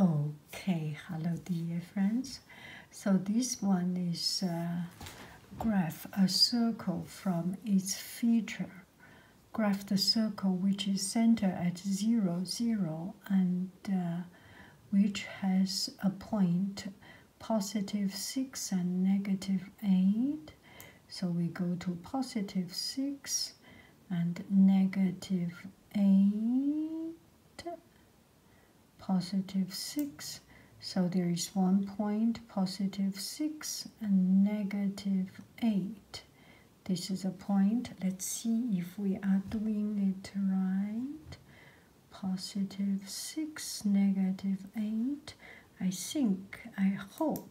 Okay, hello dear friends. So this one is graph a circle from its feature. Graph the circle which is center at 0, 0 and uh, which has a point positive 6 and negative 8. So we go to positive 6 and negative 8 positive 6 so there is one point positive 6 and negative 8 this is a point let's see if we are doing it right positive 6 negative 8 I think I hope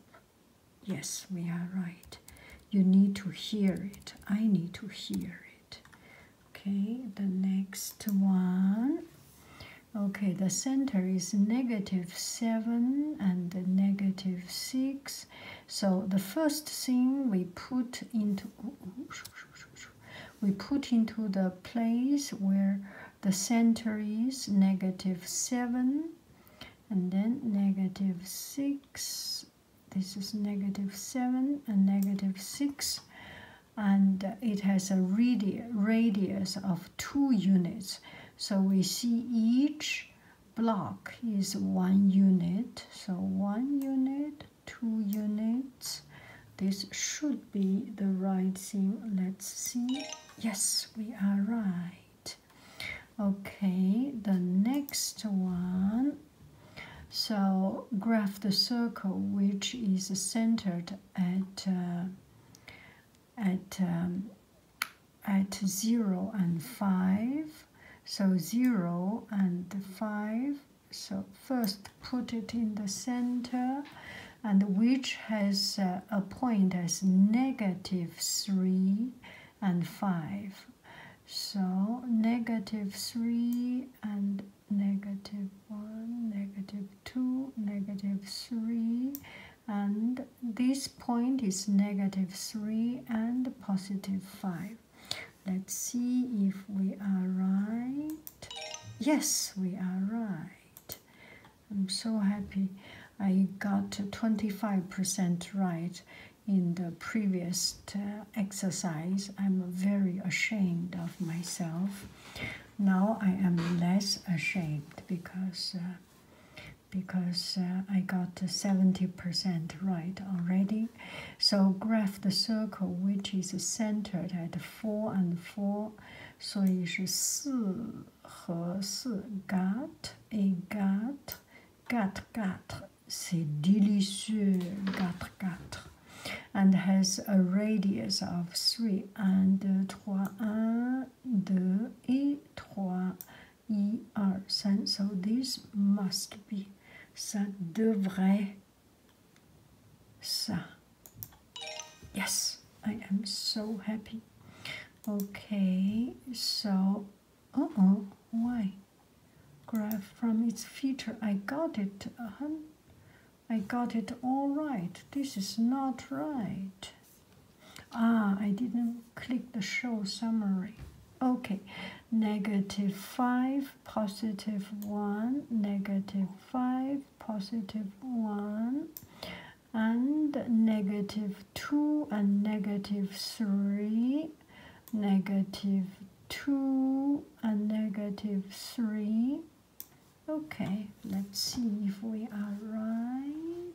yes we are right you need to hear it I need to hear it Okay, the next one. Okay, the center is negative 7 and negative 6. So the first thing we put into we put into the place where the center is negative 7 and then negative 6 this is negative 7 and negative 6 and it has a radi radius of 2 units so we see each block is 1 unit so 1 unit 2 units this should be the right seam. let's see yes we are right okay the next one so graph the circle which is centered at uh, at um, at zero and five. So zero and five. So first put it in the center, and which has uh, a point as negative three and 5. So negative 3 and negative 1, negative 2, negative 3, and this point is negative 3 and positive 5. Let's see if we are right. Yes, we are right. I'm so happy I got 25% right in the previous uh, exercise, I'm very ashamed of myself. Now I am less ashamed because uh, because uh, I got 70% right already. So graph the circle which is centered at 4 and 4. So it is 4和4 got a got got got c'est délicieux Quatre, quatre. and has a radius of three. and 2 3 1 2 et trois, i are so this must be ça devrait ça yes i am so happy okay so uh oh why graph from its feature. I got it. Uh-huh. I got it all right. This is not right. Ah, I didn't click the show summary. Okay, negative 5, positive 1, negative 5, positive 1, and negative 2 and negative 3, negative 2 and negative 3. Okay, let's see if we are right.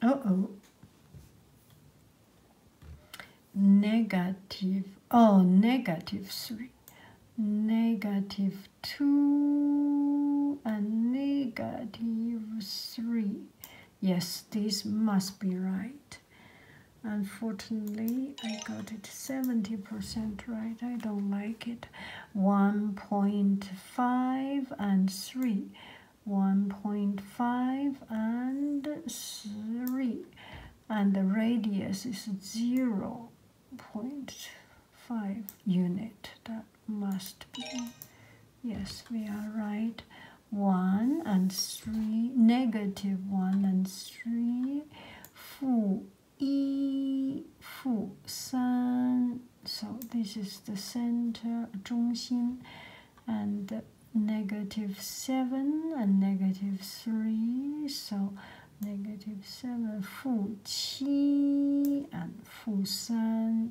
Uh-oh. Negative, oh, negative 3. Negative 2 and negative 23 yes this must be right unfortunately i got it 70 percent right i don't like it 1.5 and 3 1.5 and 3 and the radius is 0.5 unit must be. Yes, we are right. 1 and 3, negative 1 and 3, 负一、负三. So this is the center, 中心, and negative 7 and negative 3. So negative 7, 负七 and 负三.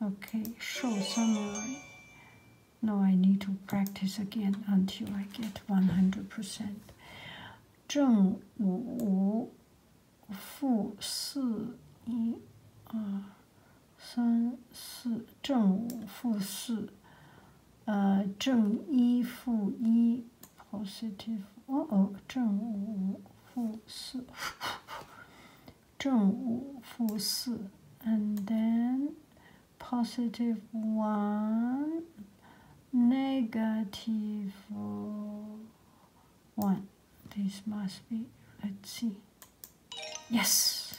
Okay, show summary. No, I need to practice again until I get 100%. 正五负四一二三四正五负四，呃，正一负一，positive，哦哦，正五负四。and then positive one, negative one. This must be. Let's see. Yes.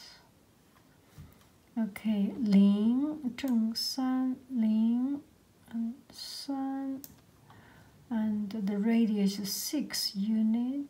Okay. and the radius is six unit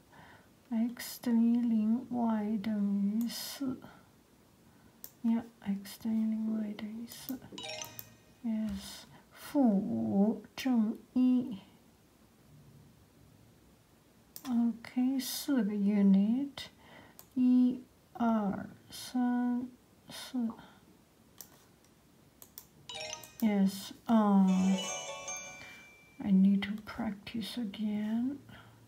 x 等于零，y 等于四。Yeah, x 等于零，y 等于四。Yes，负五正一。OK，四个 unit，一、二、三、四。Yes, um, I need to practice again.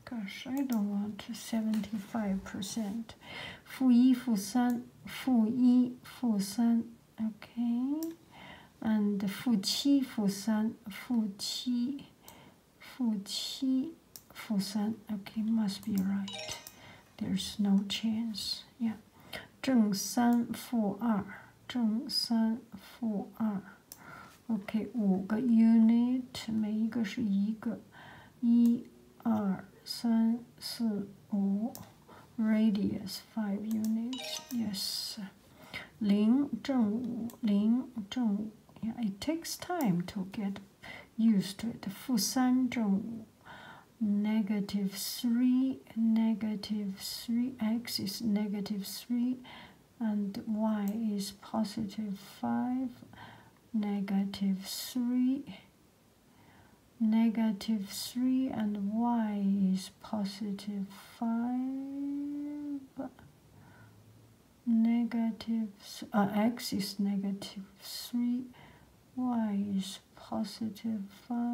Gosh, I don't want to 75%. 负一、负三、负一、负三, okay. And 负七、负三、负七、负七、负三, okay, must be right. There's no chance, yeah five 正三负二，正三负二。OK，五个 unit，每一个是一个，一、二、三、四、五，radius，five it takes time to get used to it。负三正五，negative three negative 3x is negative 3 and y is positive 5 negative 3 negative 3 and y is positive 5 negative uh, x is negative 3 y is positive 5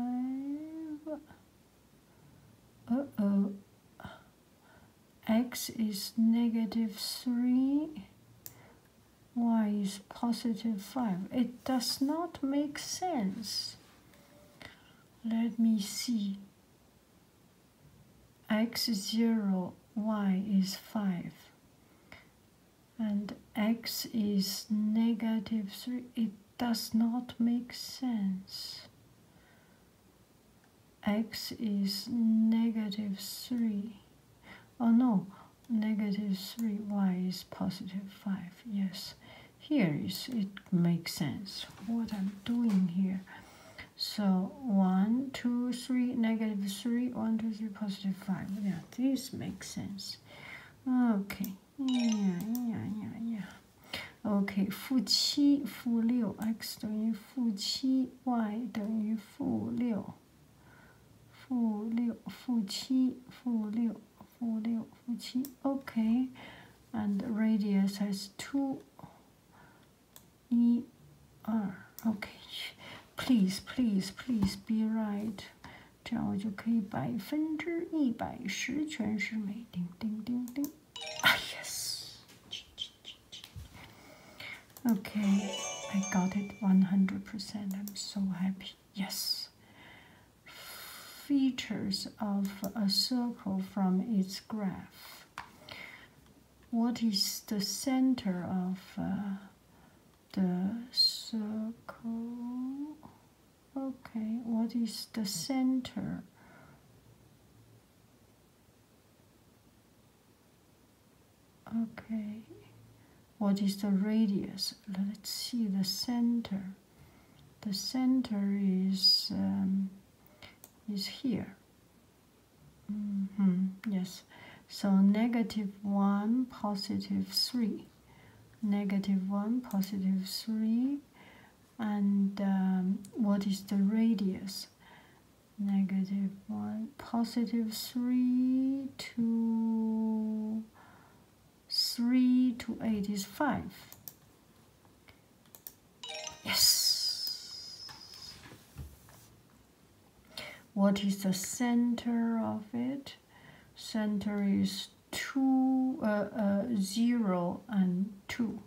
uh-oh. X is negative 3. Y is positive 5. It does not make sense. Let me see. X is 0, Y is 5. And X is negative 3 does not make sense. x is negative 3. Oh no, negative 3, y is positive 5. Yes, here is it makes sense what I'm doing here. So 1, 2, 3, negative 3, 1, 2, 3, positive 5. Yeah, this makes sense. Okay. Yeah, yeah, yeah, yeah. OK，负七负六，x 等于负七，y 等于负六，负六负七负六负六负七。OK，and、okay. radius E R. Okay, please please please be right。这样我就可以百分之一百十全是美。叮叮叮叮。Ah, yes. Okay, I got it 100%. I'm so happy. Yes. Features of a circle from its graph. What is the center of uh, the circle? Okay, what is the center? Okay, what is the radius? Let's see the center. The center is um, is here. -hmm. Yes, so negative 1, positive 3. Negative 1, positive 3 and um, what is the radius negative 1 positive 3 three. 3 to 8 is 5 yes what is the center of it center is Two, uh, uh, zero and two,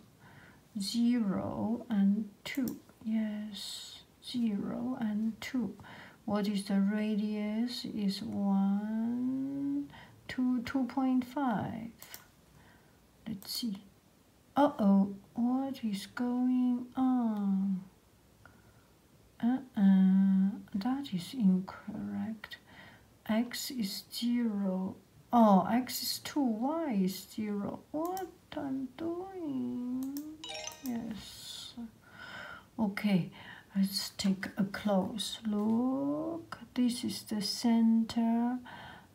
zero and 2. Yes, 0 and 2. What is the radius? Is 1, 2, 2.5. Let's see. Uh-oh, what is going on? Uh-uh, that is incorrect. X is 0 Oh, x is 2, y is 0. What I'm doing? Yes. Okay, let's take a close look. This is the center.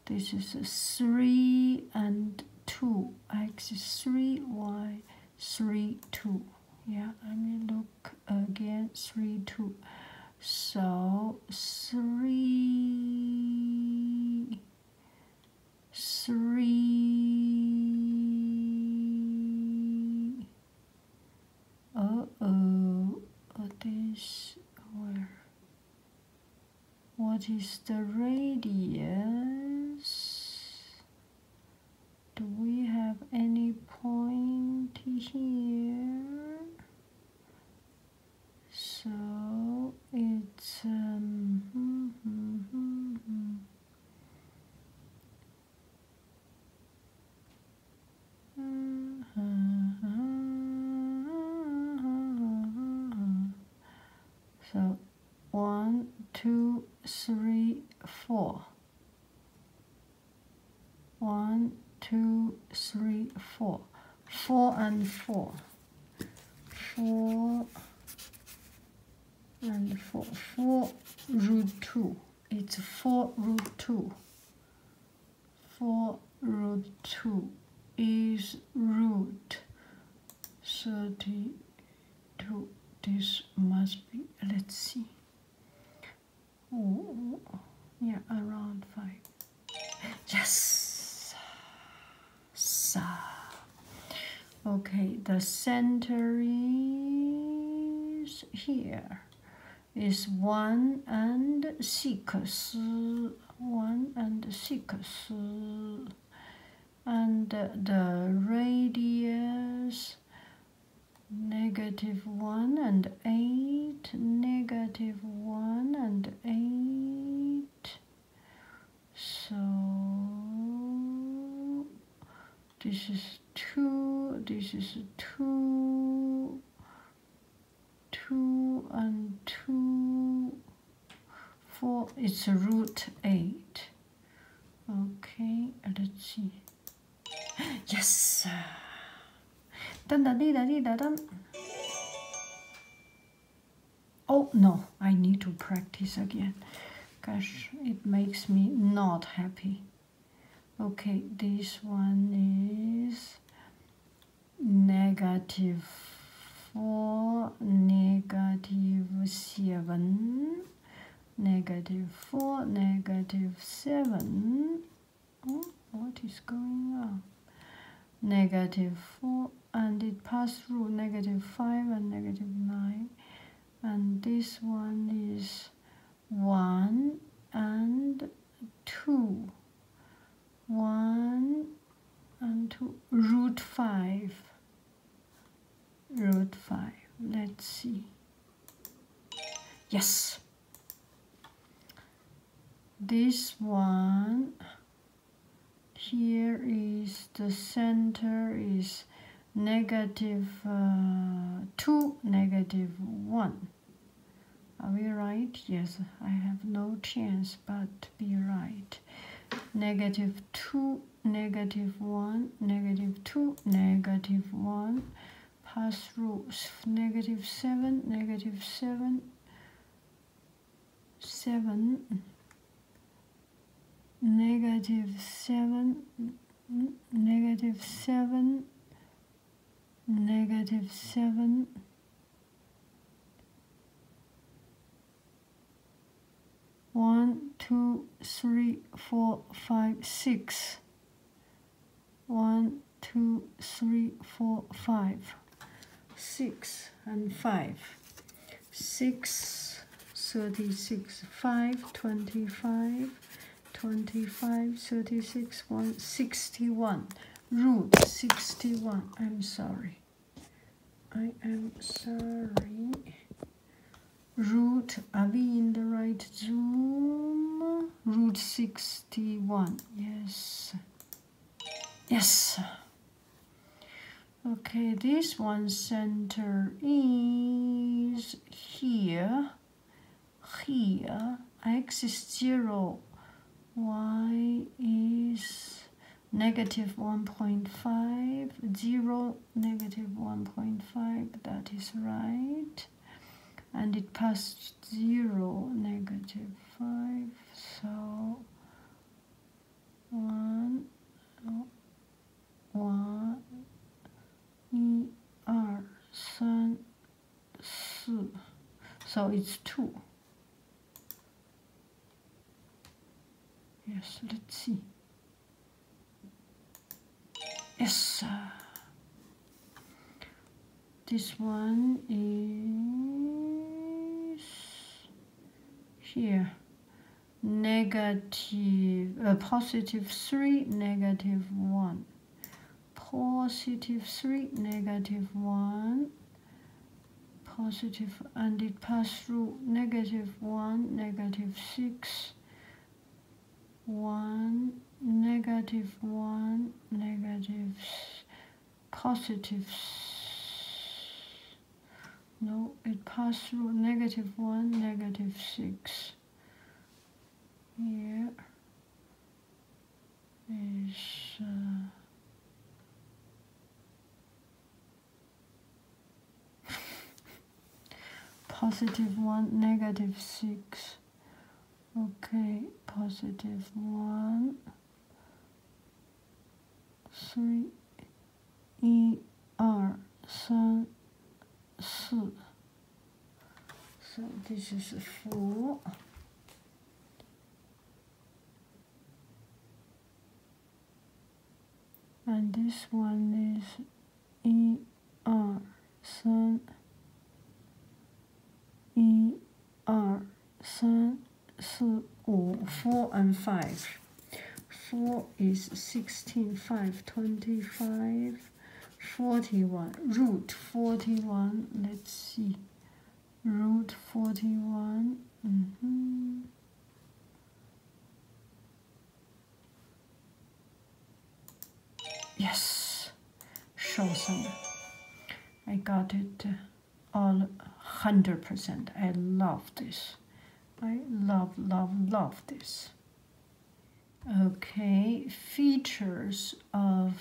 This is 3 and 2. x is 3, y 3, 2. Yeah, I mean, look again, 3, 2. So three, three. Uh oh, uh, this where? What is the radius? Do we have any point here? so it's um, mm, mm, mm, so one, two, three, four. One, two, three, four. Four and four. Four and four. Four root two. It's four root two. Four root two is root thirty-two. This must be. Let's see. Yeah, around five. Yes. So. Okay, the center is here. Is one and six. One and six. And the radius negative one and eight negative 1 and 8. So this is 2, this is 2, 2 and 2, 4. It's root 8. Okay, let's see. Yes! Dun, dun, dee, dun, dee, dun, dun. Oh no, I need to practice again. Gosh, it makes me not happy. Okay, this one is negative 4, negative 7, negative 4, negative 7 oh, what is going on negative 4 and it passed through negative 5 and negative 9 and this one is 1 and 2 1 and 2 root 5 root 5 let's see yes this one here is the center is uh, 2 negative 1 are we right yes i have no chance but be right negative 2 negative 1 negative 2 negative 1 pass through 7 negative 7 seven negative seven negative seven negative seven one two One, two, three, three four five six one, two, three, four, five, six, and five. Six, 36, 5, 25, 25, 36, 1, 61. Root 61. I'm sorry. I am sorry. Root, are we in the right zoom? Root 61. Yes. Yes. Okay, this one center is here, here, x is 0, y is negative 1.5, 0, negative 1.5, that is right and it passed 0, negative 5, so 1, 1, 2, 3, 4, so it's 2. Yes, let's see. Yes, this one is here negative uh, positive 3 negative 1 positive 3 negative 1 positive and it passed through negative 1 negative 6 1 negative 1 negative positive no it passed through negative 1 negative 6 Yeah. uh, positive 1 negative 6 okay positive 1三一二三四，所以这就是福。And this one is 一二三一。二、三、四、五，four and five. Four is twenty-five. Forty-one Root forty-one. Let's see. Root forty-one. Yes. Shosen. I got it all 100%. I love this. I love, love, love this. Okay, features of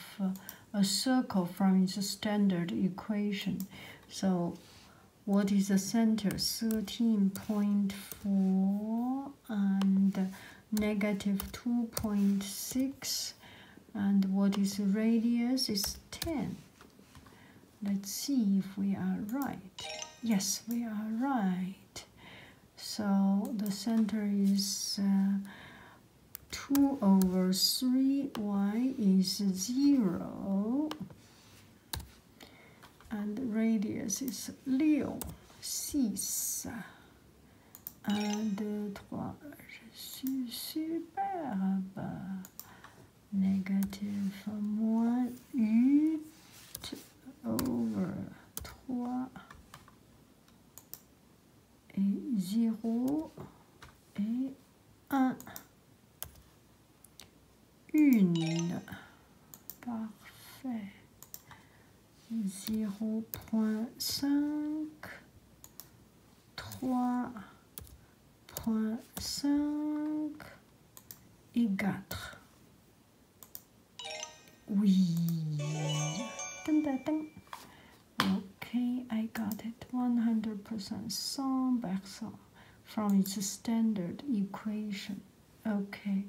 a circle from its standard equation. So what is the center? 13.4 and negative 2.6 and what is radius is 10 let's see if we are right yes we are right so the center is uh, 2 over 3y is 0 and radius is 六，细 a 1, 2, 3, je suis superbe. Négatif moins 8 over 3 et 0 et 1. Une. Parfait. 0.5 3.5 et 4. Oui. Okay, I got it 100% sum back from its standard equation. Okay,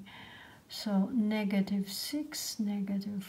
so negative 6, negative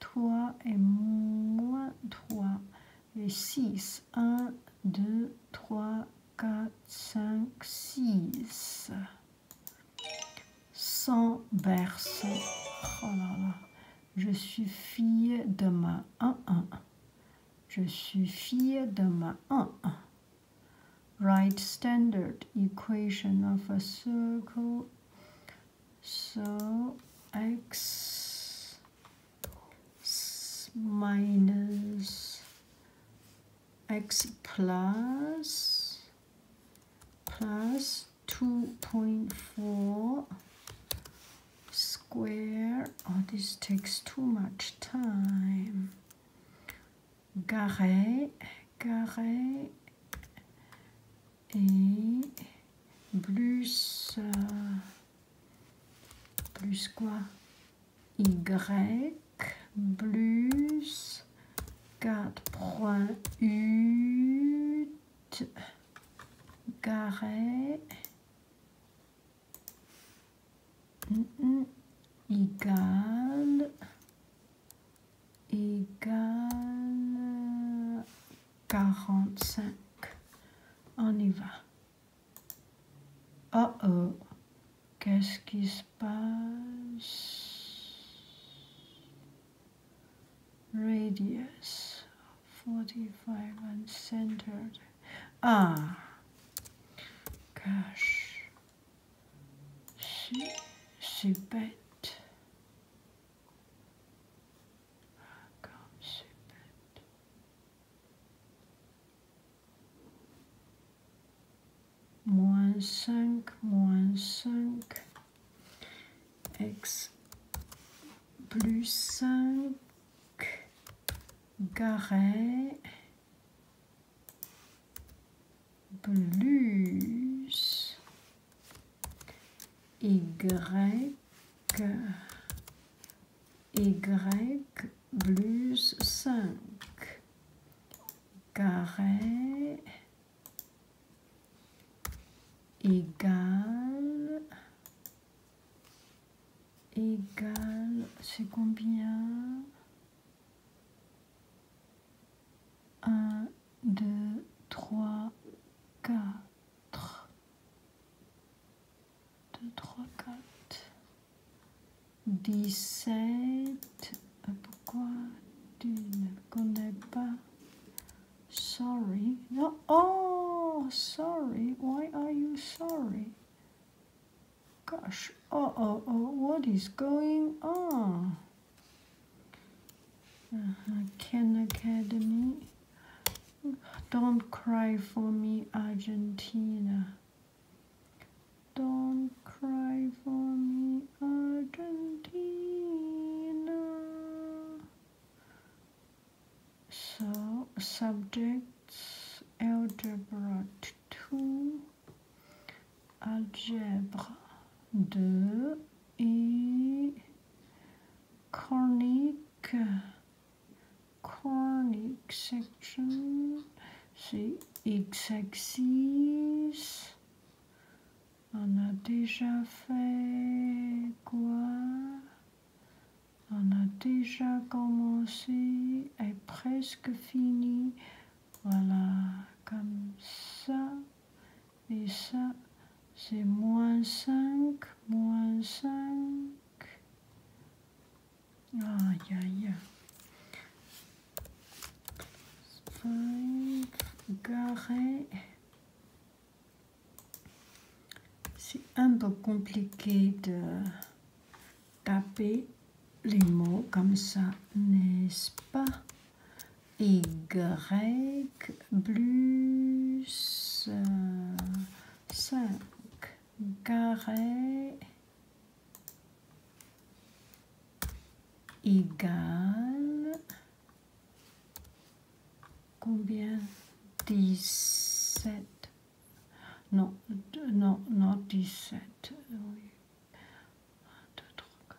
3 et moins 3 et 6. 1, 2, 3, 4, 5, 6. 100 berceaux. Oh là là. Je suis fille de ma 1, 1. Je suis fille de ma 1, right standard equation of a circle So x minus x plus plus 2.4 square. Oh, this takes too much time. Carré, carré, et plus, euh, plus quoi Y plus 4.8 carré égal mm, mm, égale 45. On y va. Oh oh, qu'est-ce qui se passe? Radius 45 and centered. Ah, gosh, c'est bête. Moins 5, moins 5, x plus 5, carré, plus y, Y plus 5, carré égale, égale, c'est combien 1, 2, 3, 4. 2, 3, 4. 17. Pourquoi tu ne connais pas Sorry. Oh, sorry. Why are you sorry? Gosh. Oh, oh, oh. What is going on? Uh -huh. Ken Academy. Don't cry for me, Argentina. Don't cry for me, Argentina. So, subjects, algebra 2, algebra 2 et Chronique, cornic section, c'est x-axis. On a déjà fait quoi On a déjà commencé, et presque fini. Voilà, comme ça. Et ça, c'est moins 5, moins 5. Aïe, aïe. Cinq, C'est un peu compliqué de taper les mots comme ça, n'est-ce pas y plus 5 euh, carré égale combien 17 non non non 17 1 2 3 4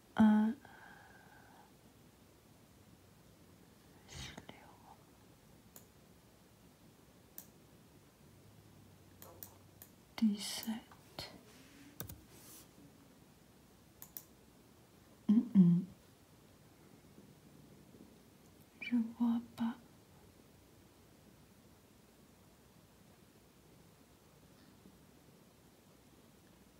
un fléau. Dix-sept. Mm -mm. Je vois pas.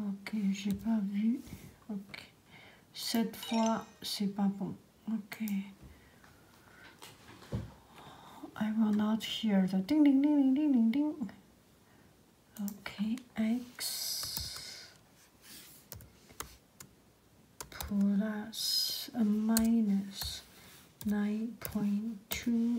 Ok, j'ai pas vu. Ok. Cette fois, c'est pas bon. Ok. I will not hear the ding ding ding ding ding ding. Okay, x plus a minus 9.2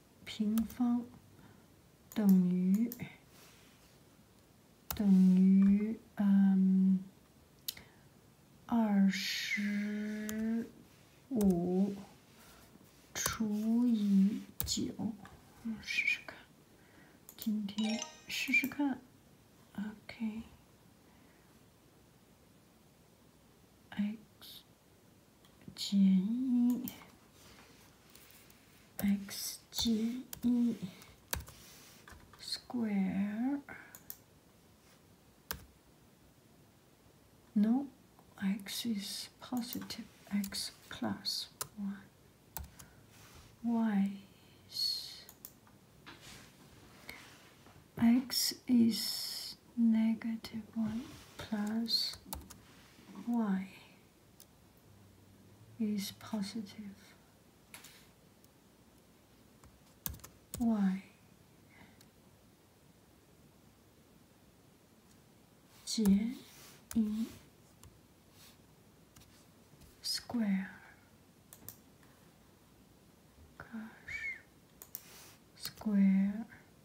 平方等于等于嗯二十五除以九，试试看。今天试试看。OK，x。J X G E square. No, X is positive. X plus one. Y is X is negative 1 plus y is positive y J E square square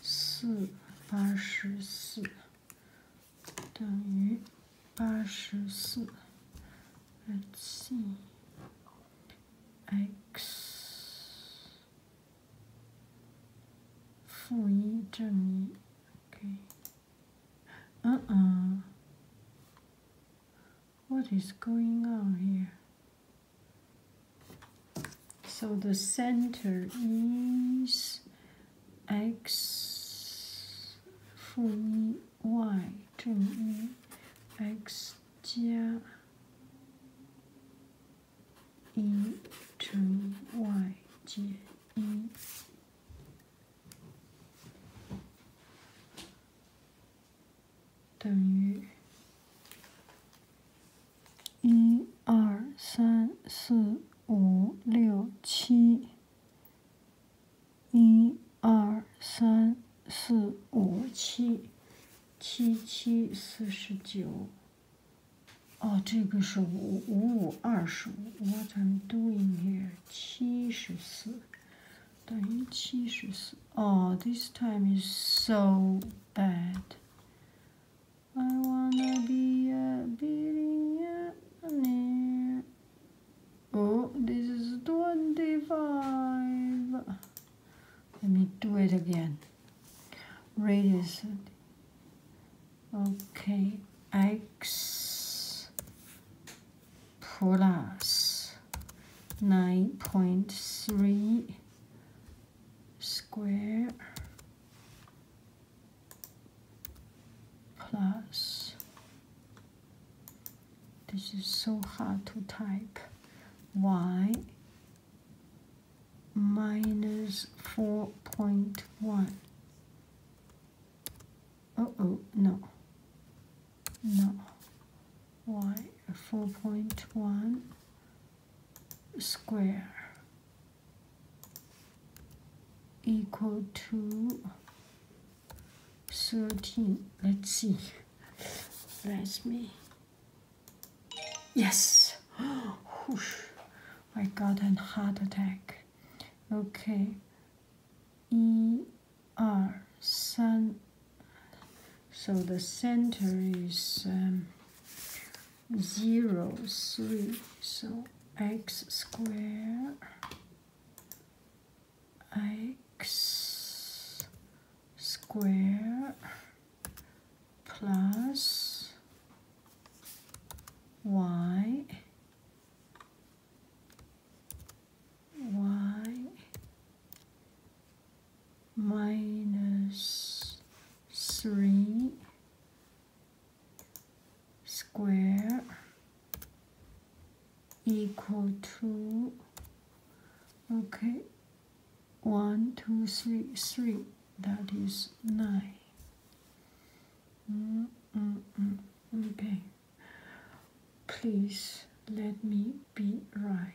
四八十四等于八十四。Let's see. X 负一正一。Okay. Uh uh. What is going on here? So the center is x 负一 y 正一 x 加一乘 y 减一。等于一二三四五六七，一二三四五七，七七四十九。哦，这个是五五五二十五。What I'm doing here？七十四等于七十四。哦 this time is so bad. I wanna be a billionaire. Oh, this is 25. Let me do it again. Radius. Okay, X plus 9.3 square plus this is so hard to type y minus 4.1 oh oh no no y 4.1 square equal to 13 let's see that's me yes Whoosh. i got a heart attack okay e r so the center is um, 0, 3. So x square x square plus y y minus three square equal to okay one two three three that is nine mm, mm, mm. okay please let me be right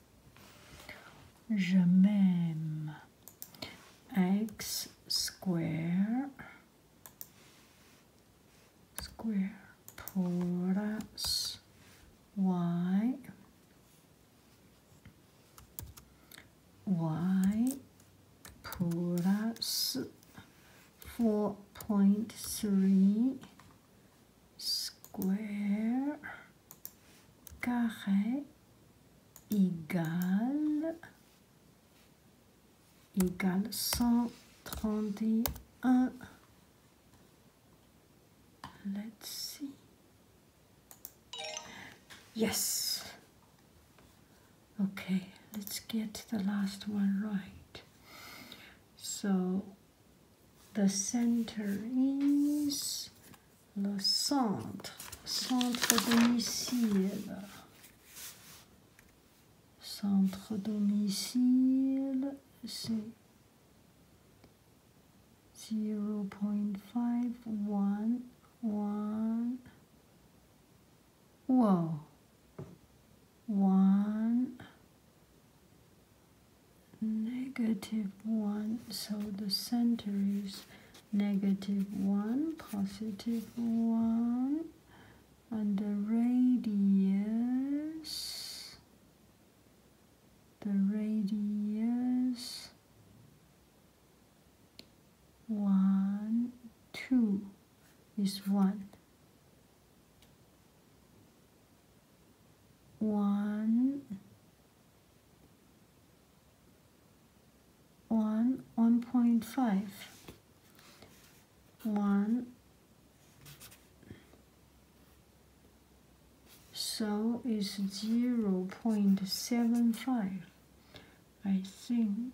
Je m'aime. X square square plus y y plus 4.3 square carré égale, égale 131. Let's see. Yes. Okay, let's get the last one right. So The center is le centre, centre domicile. Centre domicile, c'est 0.511. Wow. 1 negative 1 so the center is negative 1 positive 1 and the radius the radius 1 2 is 1 one. One one point five. One. so is zero point seven five I think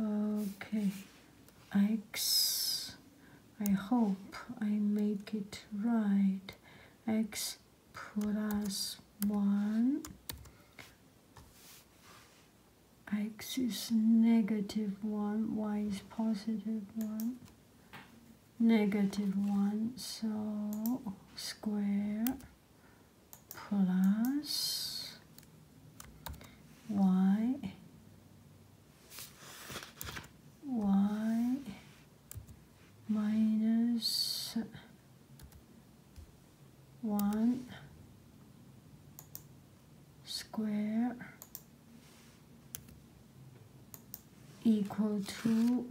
Okay, x, I hope I make it right, x plus 1, x is negative 1, y is positive 1, negative 1, so square plus y y minus 1 square equal to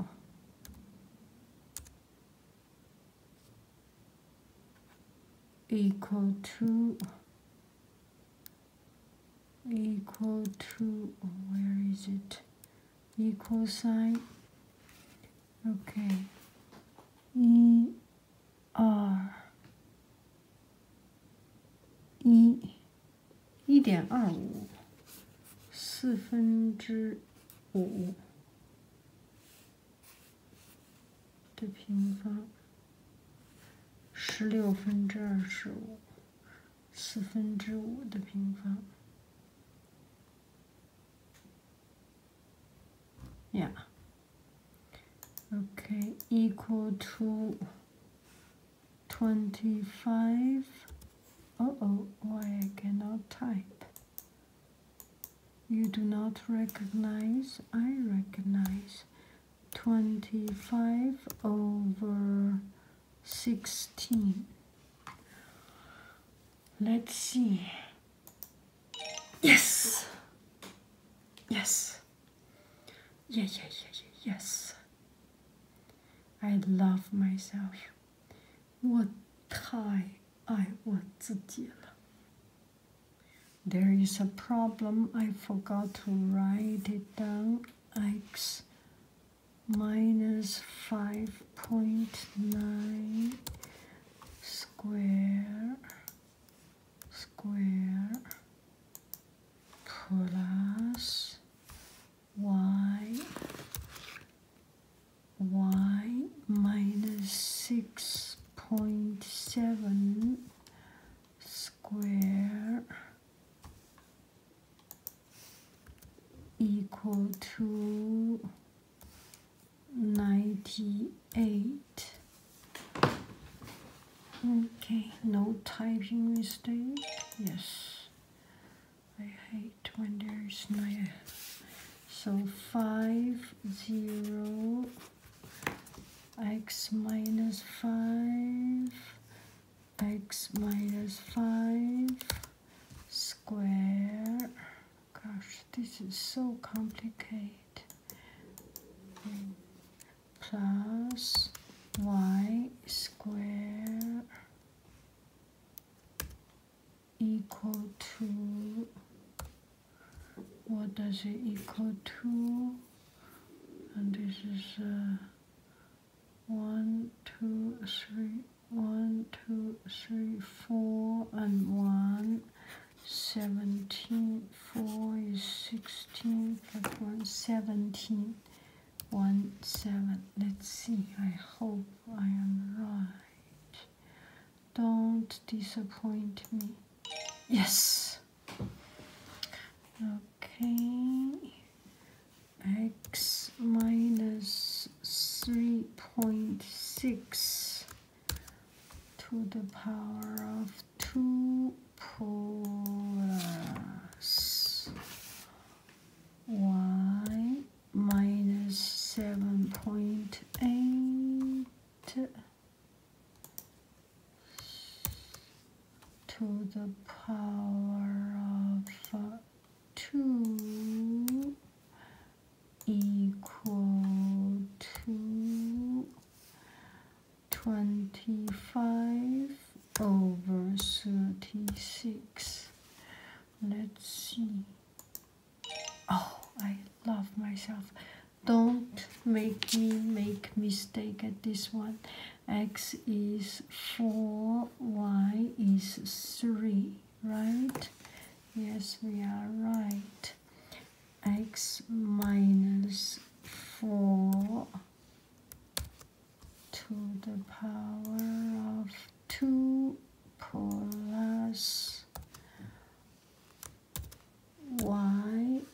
equal to equal to where is it equal sign okay e r e 一点二五四分之五的平方，十六分之二十五，四分之五的平方。Yeah. Okay, equal to 25. Oh oh, why I cannot type. You do not recognize, I recognize 25 over 16. Let's see. Yes! Yes! Yeah, yeah, yeah, yeah, yes! I love myself. 我太爱我自己了。there is a problem. I forgot to write it down. X minus 5.9 square square plus y y minus 6 0.7 square equal to 98 okay no typing mistake yes I hate when there's no so five zero x minus 5 x minus 5 square gosh this is so complicated plus y square equal to what does it equal to and this is uh, one two three one two three four and one 17 4 is 16 plus 1 17 1 7 let's see I hope I am right don't disappoint me. Yes. Okay. X minus 3.6 to the power of 2 plus y minus 7.8 to the power of 2 equal to 25 over 36. Let's see. Oh, I love myself. Don't make me make mistake at this one. X is 4, Y is 3, right? Yes, we are right. X minus 4 to the power of 2 plus y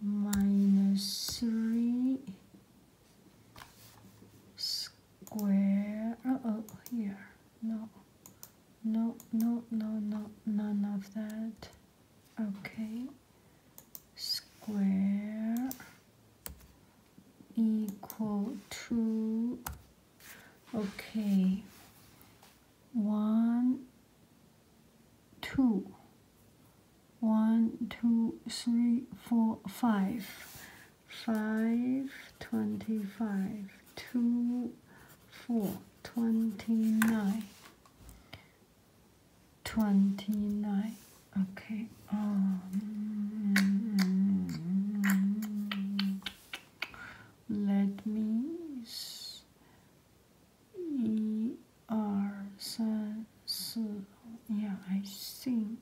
minus 3 square. Oh, oh, here. No, no, no, no, no, none of that. Okay. Square equal to. Okay one, two, one, two, three, four, five, five, twenty-five, two, four, twenty-nine, twenty-nine. Okay. Um, let me see. Yeah, I think.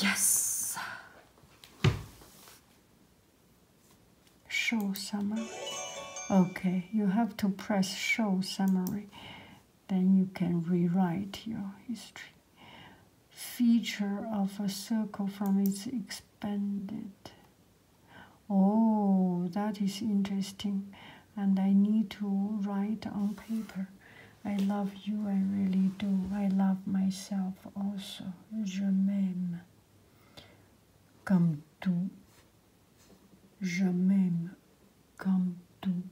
Yes! Show summary. Okay, you have to press show summary. Then you can rewrite your history feature of a circle from its expanded. Oh, that is interesting, and I need to write on paper. I love you, I really do. I love myself also. Je m'aime. Comme tout. Je m'aime. Comme tout.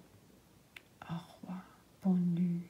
Au revoir. Bonne nuit.